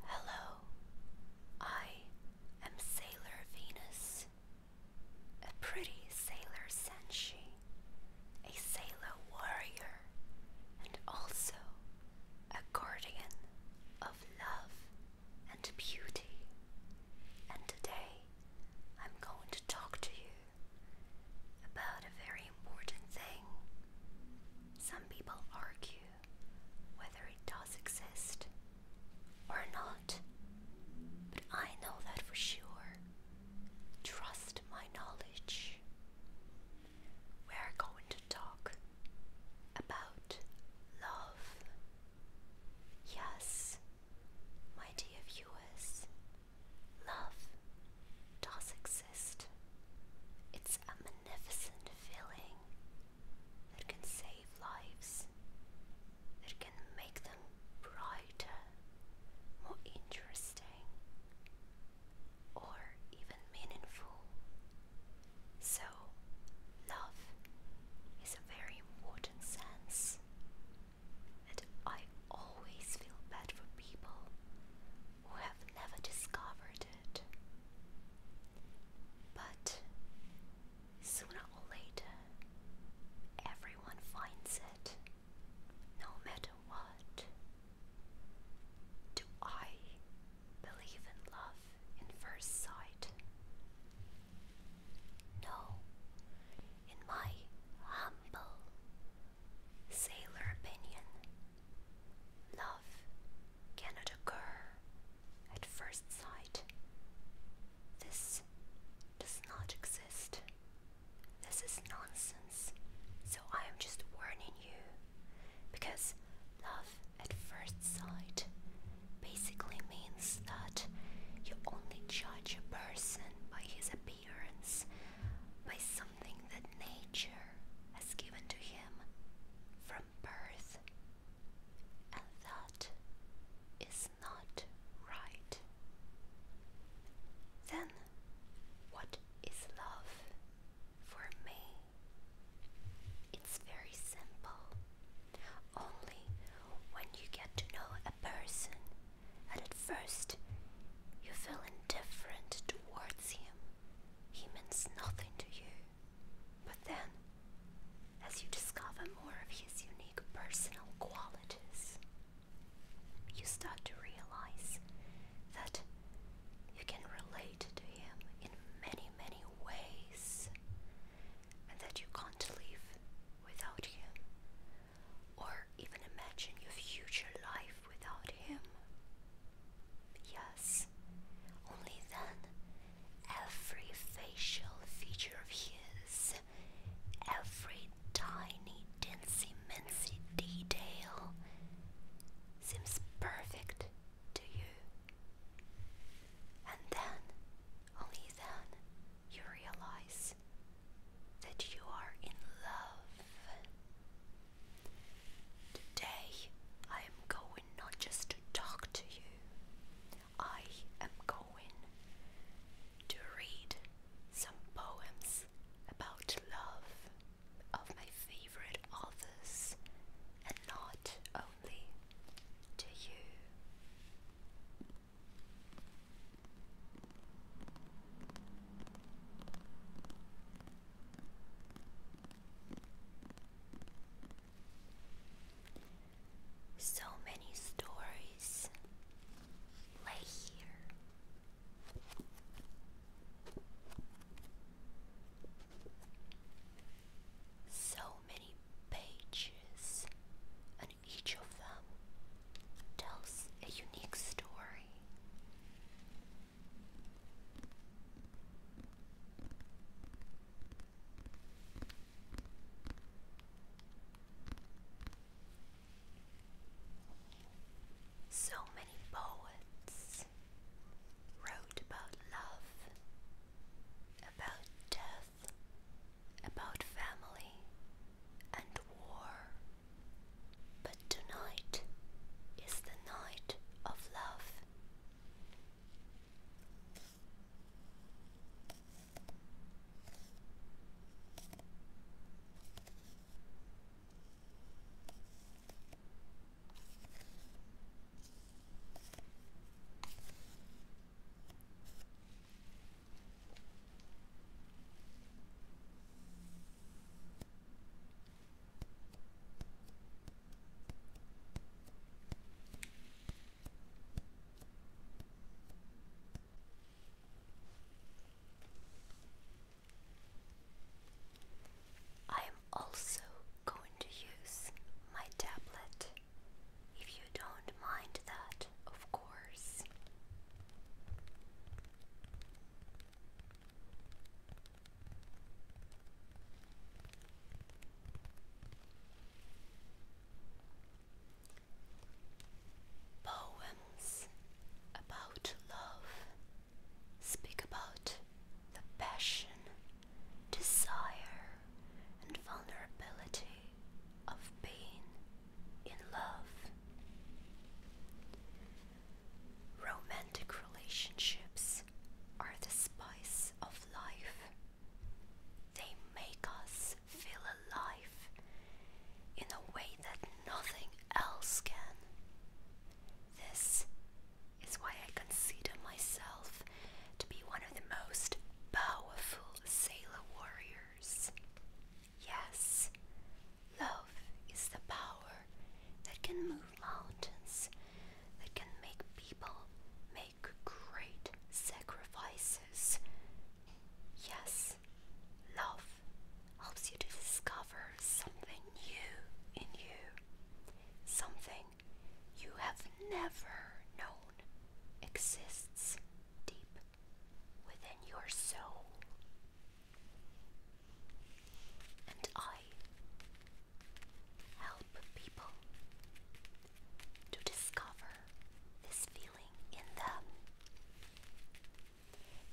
Hello, I am Sailor Venus, a pretty sailor senshi, a sailor warrior, and also a guardian of love and beauty. And today I'm going to talk to you about a very important thing. Some people argue whether it does exist or not, but I know that for sure. Trust my knowledge. We're going to talk about love. Yes, my dear viewers, Love does exist. It's a magnificent feeling that can save lives, that can make them brighter, more interesting, or even meaningful. So, love is a very important sense and I always feel bad for people who have never discovered it. But sooner or later, everyone finds it, no matter what. Do I believe in love in first sight? No. In my humble Sailor opinion. Love cannot occur at first sight. This does not exist. This is nonsense. So I am just warning you because love at first sight basically means that you only judge a person by his appearance by something that nature has given to him from birth, and that is not right. Then, what is love for me? It's very simple. Only when you get to know a person and at first you feel indifferent towards him. He means nothing to you. But then, as you discover more of his unique personal qualities, you start to realize that you can relate to him in many, many ways, and that you can't live without him, or even imagine your future life without him? Yes, only then every facial feature of his, every tiny, dinsy, mincy detail seems perfect to you. And then, only then, you realize that you are in love. Today, I am going not just to talk to you, I am going to read some poems about love of my favorite authors and not only to you. So many stories lay here. So many pages, each of them tells a unique story. So many poets wrote about love, about death death, about family and war. But tonight is the night of love. I am also going to use my tablet if you don't mind that, of course. Poems about love speak about the passion, desire, and vulnerability of pain in love. Romantic relationships are the spice of life. They make us feel alive in a way that nothing else can. This is why I consider myself to be one of the most powerful sailor warriors. Yes, love is the power that can move mountains, that can make people make great sacrifices. Yes, love helps you to discover something new in you, something you have never known exists deep within your soul. And I help people to discover this feeling in them.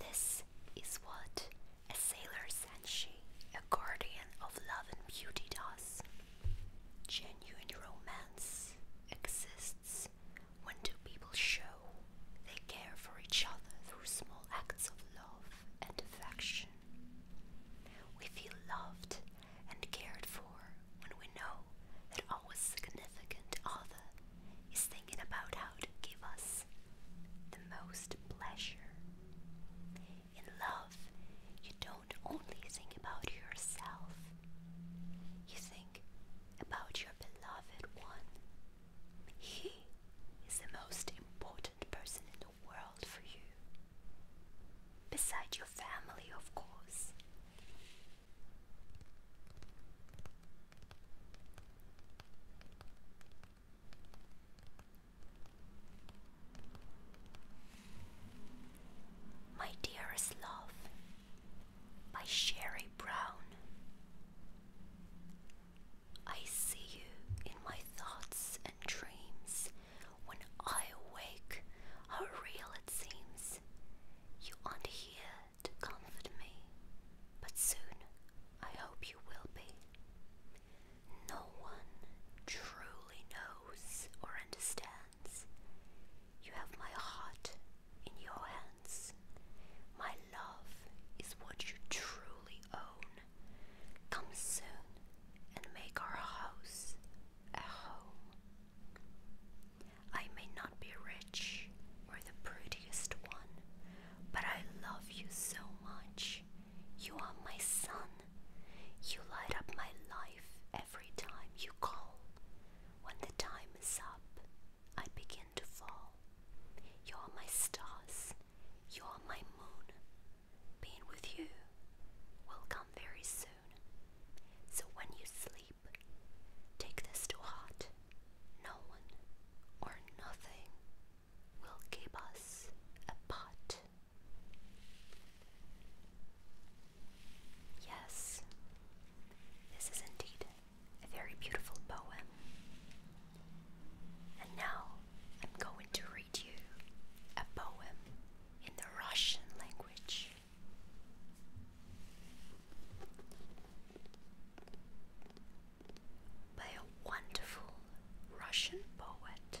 This is what a sailor senshi, a guardian of love and beauty, does. Genuine romance exists when two people show they care for each other through small acts of love and affection. We feel loved and cared for when we know that our significant other is thinking about how to give us the most pleasure. In love, you don't only think about yourself, you think about your beloved one. He is the most important person in the world for you. Beside your family, of course. My Dearest Love by Sherry Brown. I see you in my thoughts and dreams. When I awake, how real it seems. You aren't here to comfort me, but soon I hope you will be. No one truly knows or understands. You have my heart in your hands. My love is what you truly own. Come soon and make our house a home. I may not be rich or the prettiest one, but I love you so much. You are my son, you light up my life every time you call. When the time is up, I begin to fall. You are my stars, you are my moon. Being with you will come very soon. So when you sleep, take this to heart. No one or nothing will keep us apart. Yes, this is indeed a very beautiful poem. And now I'm going to read you a poem in the Russian language. By a wonderful Russian poet.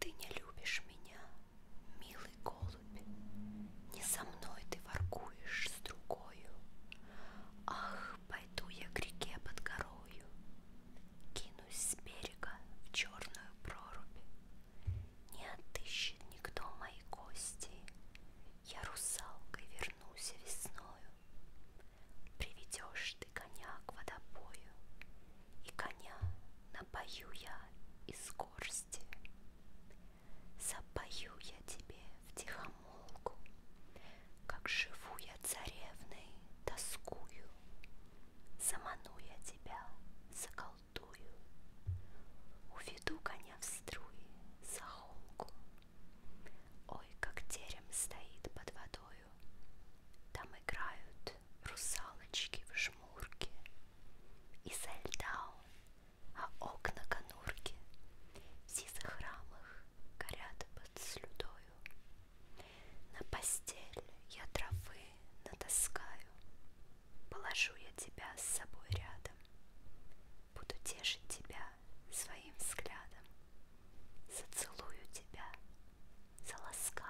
ты не любишь меня, милый голубь, Не со мной ты воркуешь с другою. Ах, пойду я к реке под горою, Кинусь с берега в черную прорубь. Не отыщет никто мои кости, Я русалкой вернусь весною. Приведешь ты коня к водопою, и коня напою я из горсти. Запою я тебе в тихомолку, как живу я царевной тоскую. Заману я тебя, заколдую, уведу коня в струи за холку. Ой, как терем стоит под водой, водою. Там играют русалочки в жмурке, Изо льда, а окна конурки В сизых рамах горят под слюдою. На постель я травы натаскаю, Положу я тебя с собой рядом, Буду тешить тебя своим взглядом, Зацелую тебя So let's go.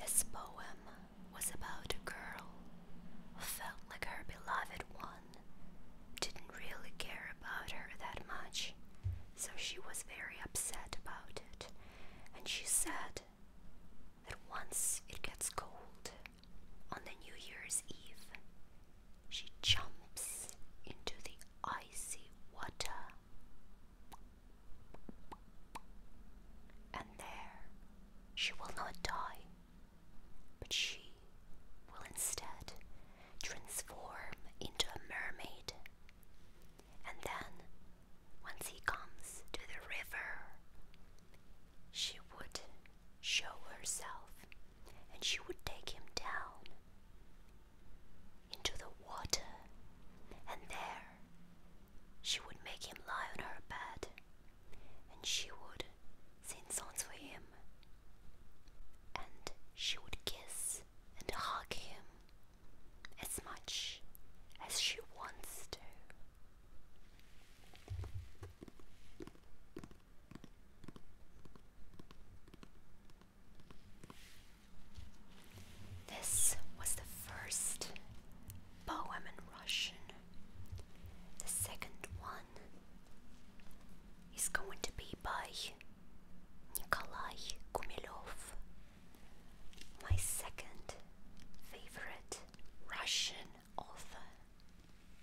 This poem was about a girl who felt like her beloved one didn't really care about her that much, so she was very upset about it, and she said that once it gets cold on the New Year's Eve, she jumps into the icy water. And there she will not die, but she will instead transform into a mermaid. And then, once he comes to the river, she would show herself and she would take him down into the water, and there she would make him lie on her bed, and she would sing songs for him, and she would kiss and hug him as much as she wants to. This was the first poem in Russian. The second one is going to be by Nikolai Gumelov, my second favorite Russian author.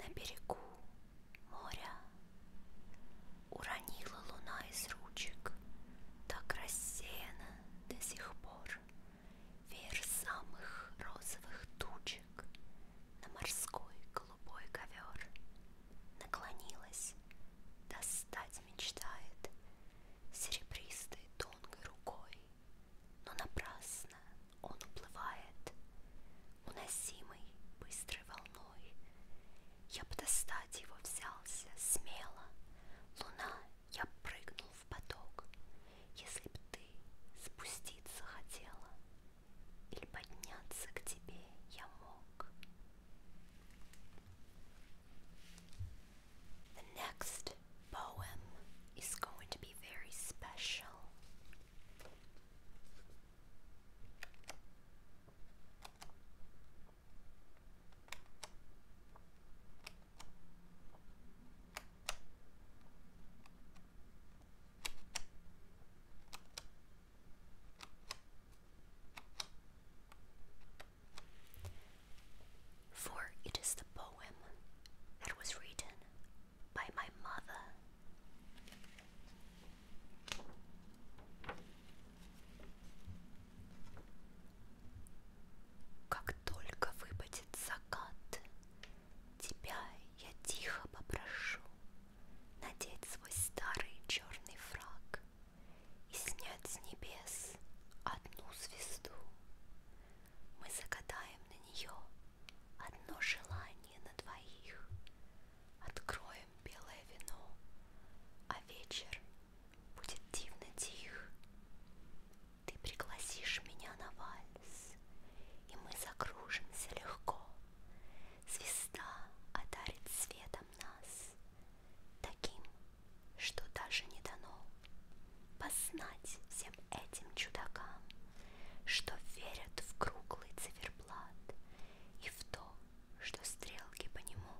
На берегу моря уронила луна из ручек, так рассеяна до сих пор Веер самых розовых тучек На морской голубой ковер Наклонилась, достать мечтает Серебристой тонкой рукой, Но напрасно он уплывает Уносимой быстрой волной Я бы достать его взялся смело Луна я прыгнул в поток. Если б ты спуститься хотела или подняться к тебе я мог. The next poem is going to be very special. For it is the poem that was written by my mother. Как только выпадет закат, тебя я тихо попрошу надеть свой старый черный фраг и снять с небес одну звезду. Мы загадаем на нее одно желание на двоих, откроем белое вино, а вечер будет дивно тих. Ты пригласишь меня на вальс, и мы закружимся легко. Звезда одарит светом нас, таким, что даже не дано познать всем этим чудакам, что верят в круглый циферблат и в то, что стрелки по нему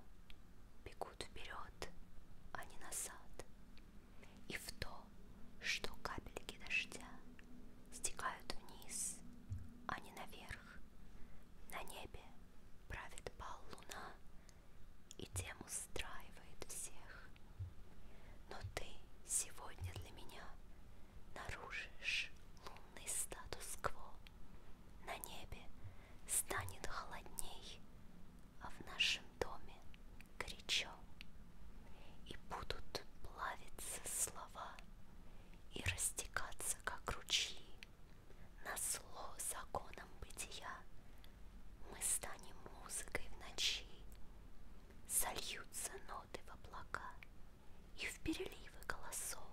бегут текут вперед, а не назад, и в то, что капельки дождя стекают вниз, а не наверх. На небе правит бал луна и тем устраивает всех. Но ты сегодня для меня нарушишь лунный статус-кво. На небе станет холодней, а в нашем доме горячо, и будут плавиться слова и растекаться, как ручьи, на зло законом бытия. Мы станем музыкой в ночи, сольются ноты в облака и в переливы голосов,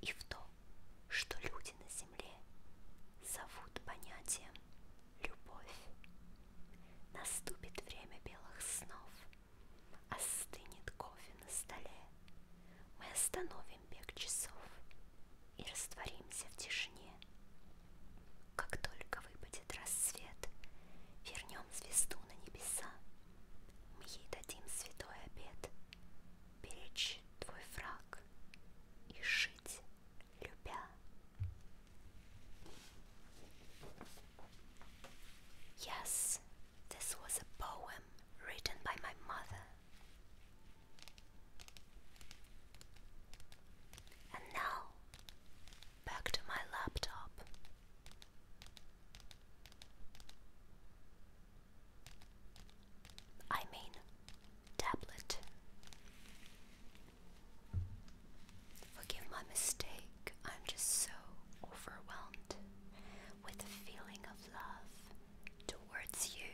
и в то, что люди на земле земле зовут понятием любовь. Наступит время белых снов, остынет кофе на столе. Мы остановим бег часов и растворимся в тишине. Как только выпадет рассвет, вернем звезду на небеса. Мы ей дадим святой обед, Yes, this was a poem written by my mother. And now, back to my laptop. I mean, tablet. Forgive my mistake, I'm just so overwhelmed with the feeling of love towards you,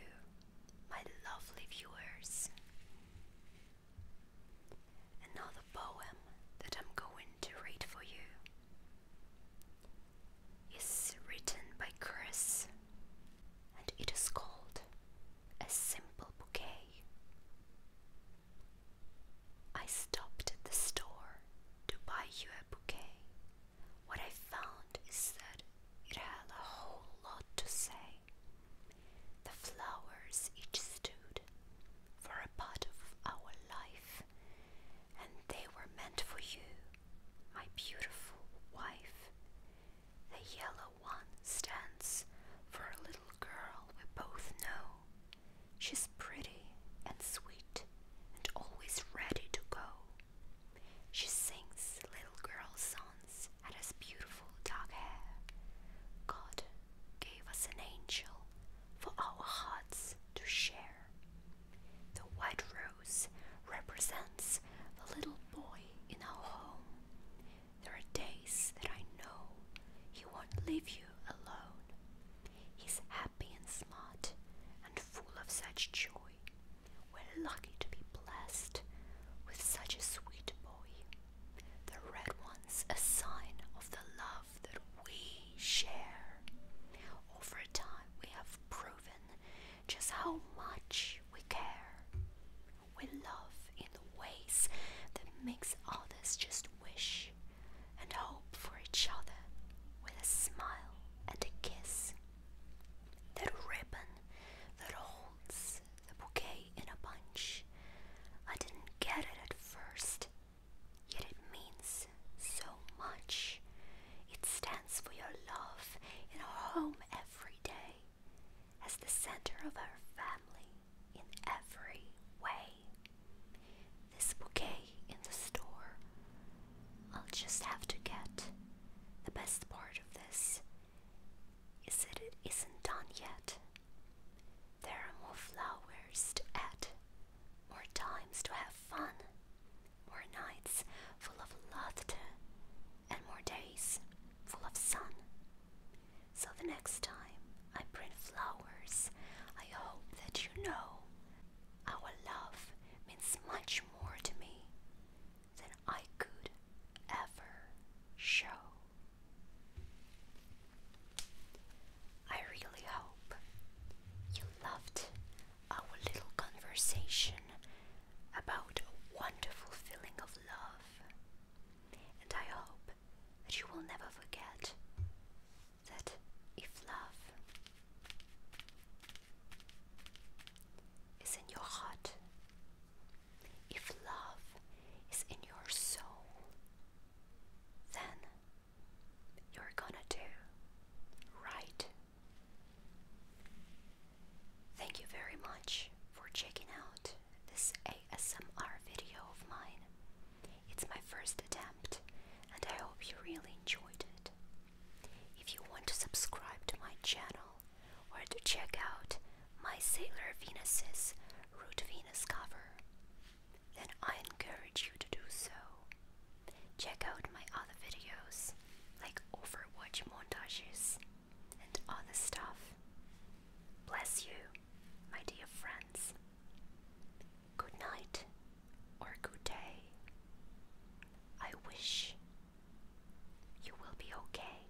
my lovely viewers. And now the poem that I'm going to read for you is written by Chris and it is called A Simple Bouquet. I stopped at the store to buy you a bouquet. What I found is that it had a whole lot to say. The flowers each stood for a part of our life, and they were meant for you my beautiful wife. The yellow one stands for a little girl we both know. She's pretty and sweet and always ready to go. She sings little girl songs and has beautiful dark hair. God gave us an angel for our hearts to share. The white rose represents the little boy in our home. There are days that I know he won't leave you alone. He's happy and smart and full of such joy. We're lucky to be blessed with such a sweet boy. The red one's a sign of the love that we share. Over time, we have proven just how much we care. We love in the ways that makes others just wish and hope for each other with a smile and a kiss. That ribbon that holds the bouquet in a bunch. I didn't get it at first, yet it means so much. It stands for your love in our home every day, as the center of our family in every way. This bouquet in the store, I'll just have to get. The best part of this is that it isn't done yet. There are more flowers to add more times to have fun, more nights full of laughter, and more days full of sun. So the next time I bring flowers, I hope that you know our love means much more to me than I could ever show. I really hope you loved our little conversation about a wonderful feeling of love. And I hope that you will never forget that if love is in your heart, if love is in your soul, then you're gonna do right. Thank you very much for checking out this ASMR video of mine. It's my first attempt and I hope you really enjoyed it. If you want to subscribe to my channel or to check out my Sailor Venus's Root Venus cover, then I encourage you to do so. Check out my other videos, like Overwatch montages and other stuff. Bless you, my dear friends. Good night or good day. I wish you will be okay.